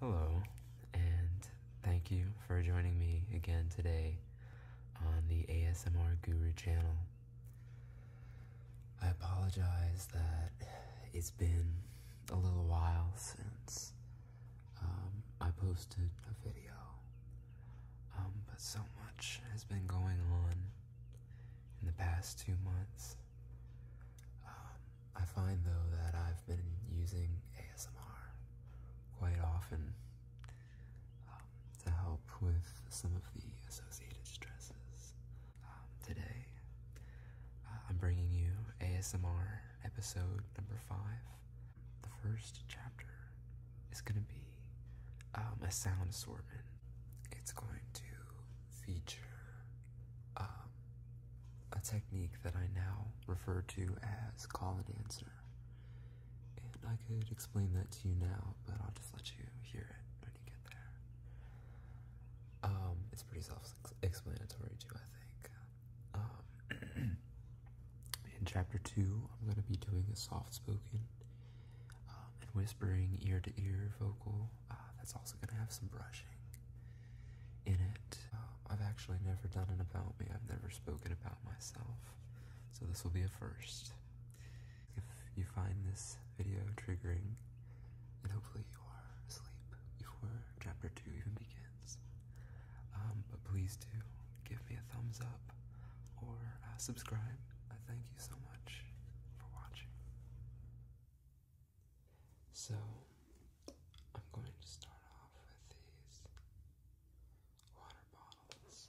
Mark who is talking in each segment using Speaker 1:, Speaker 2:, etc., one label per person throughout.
Speaker 1: Hello, and thank you for joining me again today on the ASMR Guru channel. I apologize that it's been a little while since um, I posted a video, um, but so much has been going on in the past two months. Um, I find though that I've been using ASMR quite often um, to help with some of the associated stresses. Um, today, uh, I'm bringing you ASMR episode number five. The first chapter is going to be um, a sound assortment. It's going to feature um, a technique that I now refer to as call and answer. And I could explain that to you now, but I'll just let you hear it when you get there. Um, it's pretty self explanatory, too, I think. Um, in chapter 2, I'm going to be doing a soft spoken and whispering ear to ear vocal. Uh, that's also going to have some brushing in it. Um, I've actually never done an about me. I've never spoken about myself. So this will be a first. If you find this video triggering, then hopefully you are asleep before chapter 2 even begins. Um, but please do give me a thumbs up or uh, subscribe. I thank you so much for watching. So, I'm going to start off with these water bottles.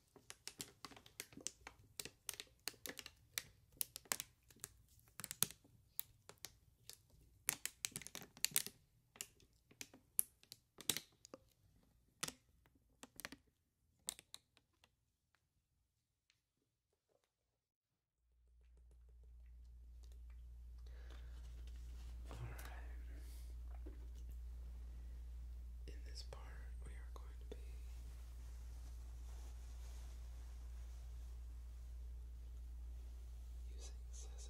Speaker 1: All right. In this part, we are going corned beef. Using scissors.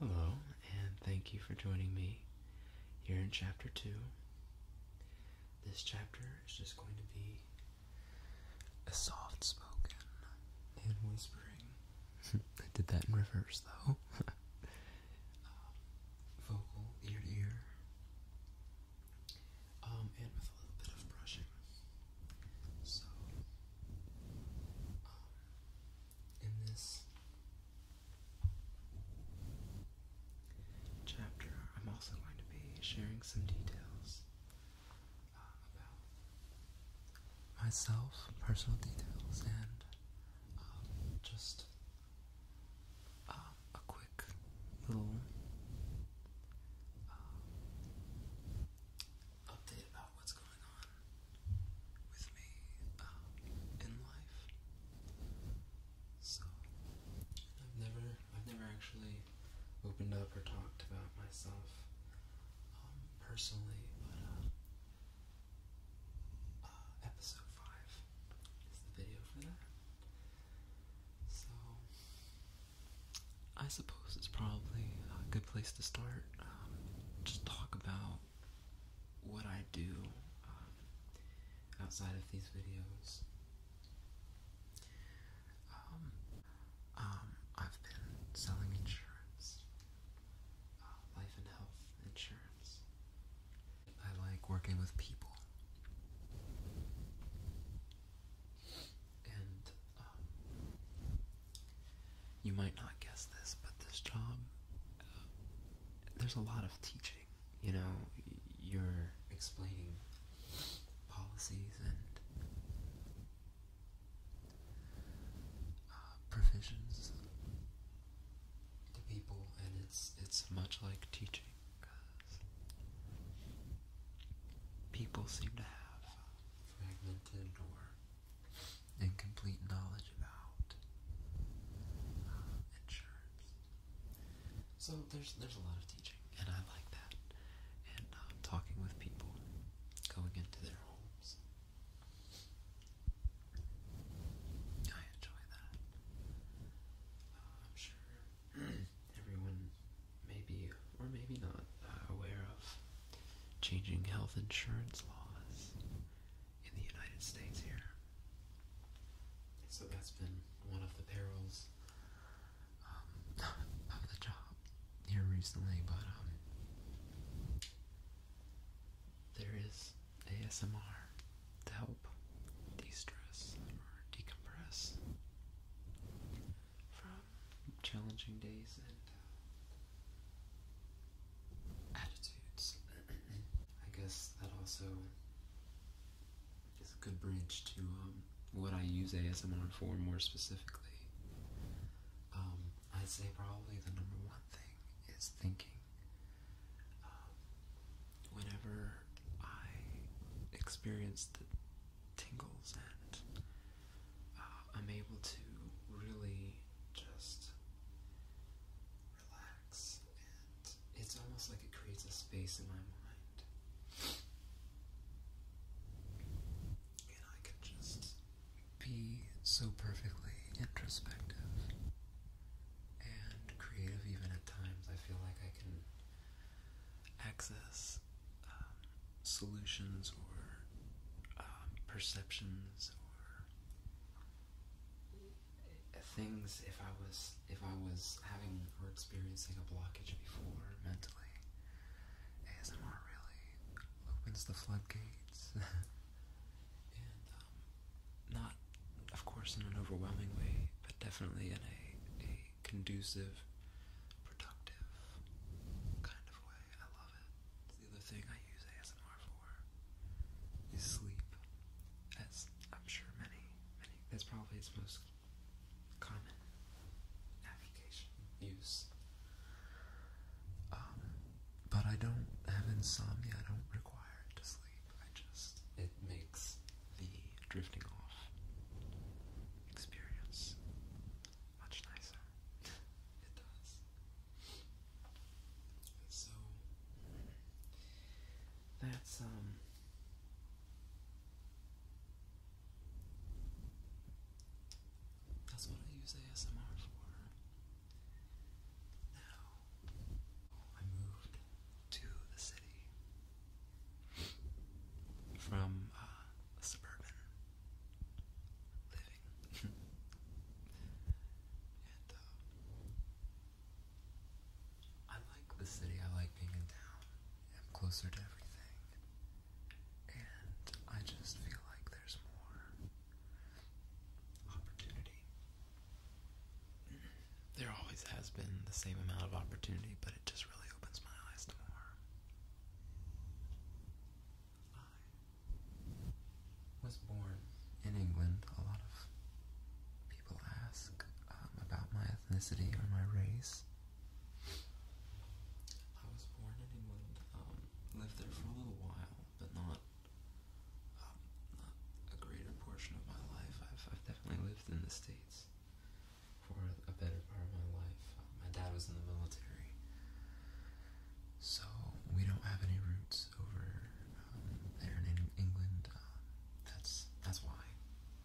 Speaker 1: Hello, and thank you for joining me here in Chapter 2. This chapter is just going to be a soft spoken and whispering. I did that in reverse though. Um, vocal, ear to ear. Um, and with a little bit of brushing. So, um, in this chapter, I'm also going to be sharing some details uh, about myself, personal details, and um, just uh, a quick little uh, update about what's going on with me in life. So I've never I've never actually opened up or talked about myself um, personally, but uh, uh, episode five is the video for that. So I suppose it's probably a good place to start. Um, just talk about what I do uh, outside of these videos. Um, um, I've been selling insurance, uh, life and health insurance. I like working with people. And um, you might not guess this, but this job, uh, there's a lot of teaching you know, you're explaining policies and uh, provisions to people, and it's it's much like teaching. people seem to have uh, fragmented or incomplete knowledge about uh, insurance so there's there's a lot of teaching, and I like that. And uh, talking with people, going into their homes, I enjoy that. I'm sure everyone, maybe or maybe not, uh, aware of changing health insurance laws in the United States here. So that's been one of the perils um, of the job here recently, but um, there is ASMR to help de-stress or decompress from challenging days and uh, attitudes. I guess that also is a good bridge to um, what I use ASMR for more specifically. Um, I'd say probably the number one thing is thinking. Um, whenever I experience the tingles and uh, I'm able to really just relax, and it's almost like it creates a space in my mind. And I can just be so perfectly introspective and creative, even at times. I feel like I can access um, solutions or um, perceptions or things if I was if I was having or experiencing a blockage before mentally. ASMR really opens the floodgates. and um, not of course in an overwhelming way, but definitely in a a conducive, productive kind of way. I love it. the other thing I use for sleep, as I'm sure many, many, that's probably its most common application use. Um, but I don't have insomnia, I don't require it to sleep, I just, it makes the drifting off experience much nicer. it does. So that's um that's what I use ASMR for. Now I moved to the city from uh, a suburban living, and uh, I like the city, I like being in town. I'm closer to everything. And I just feel like there's more opportunity. There always has been the same amount of opportunity, but it just really opens my eyes to more was born in England, a lot of people ask um, about my ethnicity or my race. I was born in England, um, lived there for a little while, but not, um, a greater portion of my life. I've, definitely lived in the States for a better part of my life. my dad was in the military, so we don't have any roots over um, there in England. Um, that's that's why.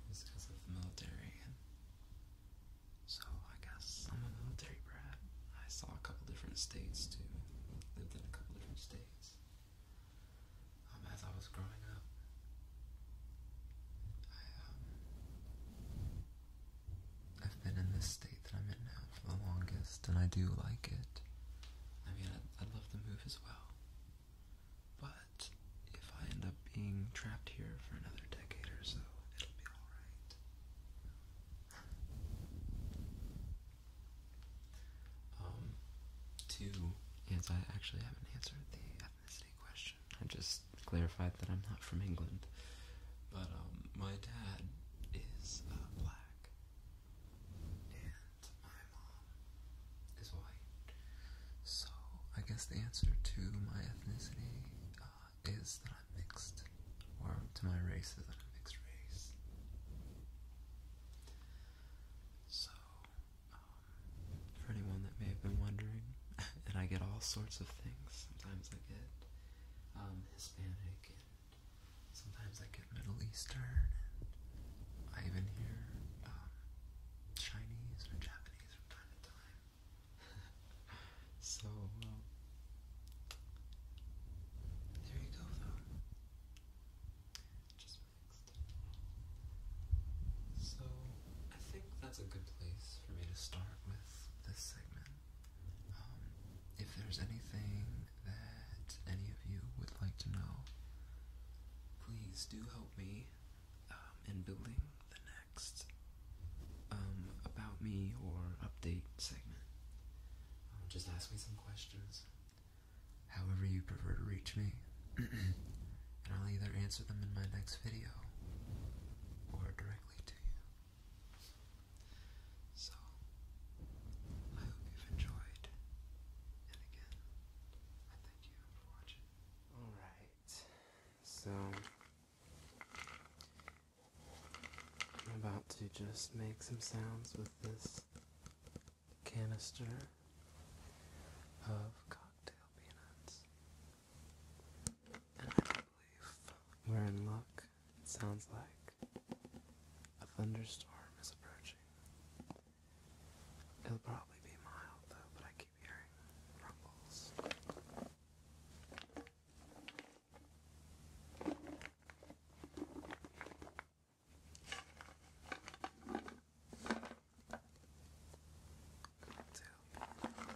Speaker 1: It's because of the military. so I guess I'm a military brat. I saw a couple different states too. Lived in a couple different states. Um, as I was growing up, I, have um, been in this state that I'm in now for the longest, and I do like it. I mean, I I love the move as well. But if I end up being trapped here for another decade or so, it'll be alright. um, two is I actually haven't answered the ethnicity question. I just clarified that I'm not from England. But um, my dad is uh, black and my mom is white. So I guess the answer to my ethnicity uh, is that I'm mixed, or to my race is I'm mixed race. So, um, for anyone that may have been wondering, and I get all sorts of things. Sometimes I get um, Hispanic Sometimes I get Middle Eastern, I even hear um, Chinese or Japanese from time to time. so, there you go, Just mixed. So, I think that's a good place for me to start with this segment. Um, if there's anything that any of you would like to know, please do help me um, in building the next um, about me or update segment. Um, just ask me some questions, however you prefer to reach me, and I'll either answer them in my next video or directly to you. So, I hope you've enjoyed. And again, I thank you for watching. Alright, so I'm about to just make some sounds with this canister of cocktail peanuts. And I believe we're in luck it sounds like a thunderstorm is approaching. It'll probably be mild though, but I keep hearing rumbles. Cocktail.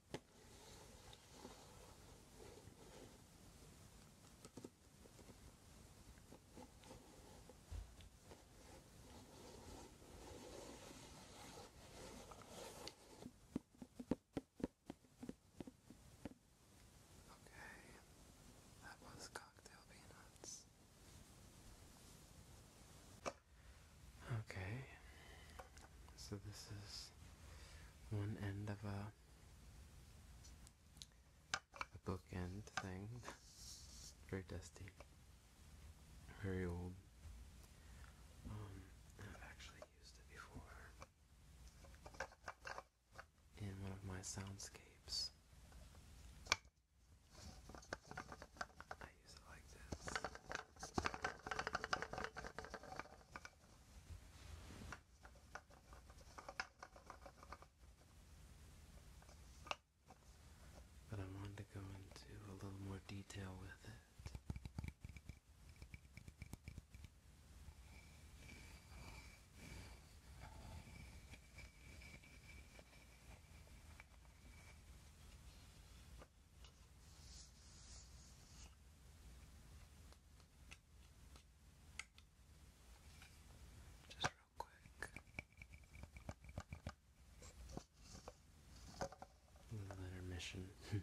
Speaker 1: Okay, that was cocktail peanuts. Okay, so this is one end of a a bookend thing. very dusty. Very old. Um, I've actually used it before in one of my soundscapes. I use it like this. But I wanted to go into a little more detail with it. Just real quick. Letter mission.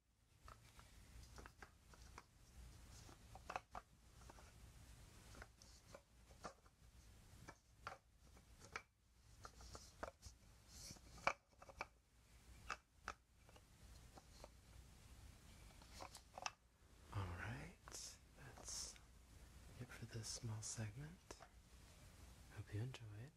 Speaker 1: All right, that's it for this small segment. Hope you enjoy it.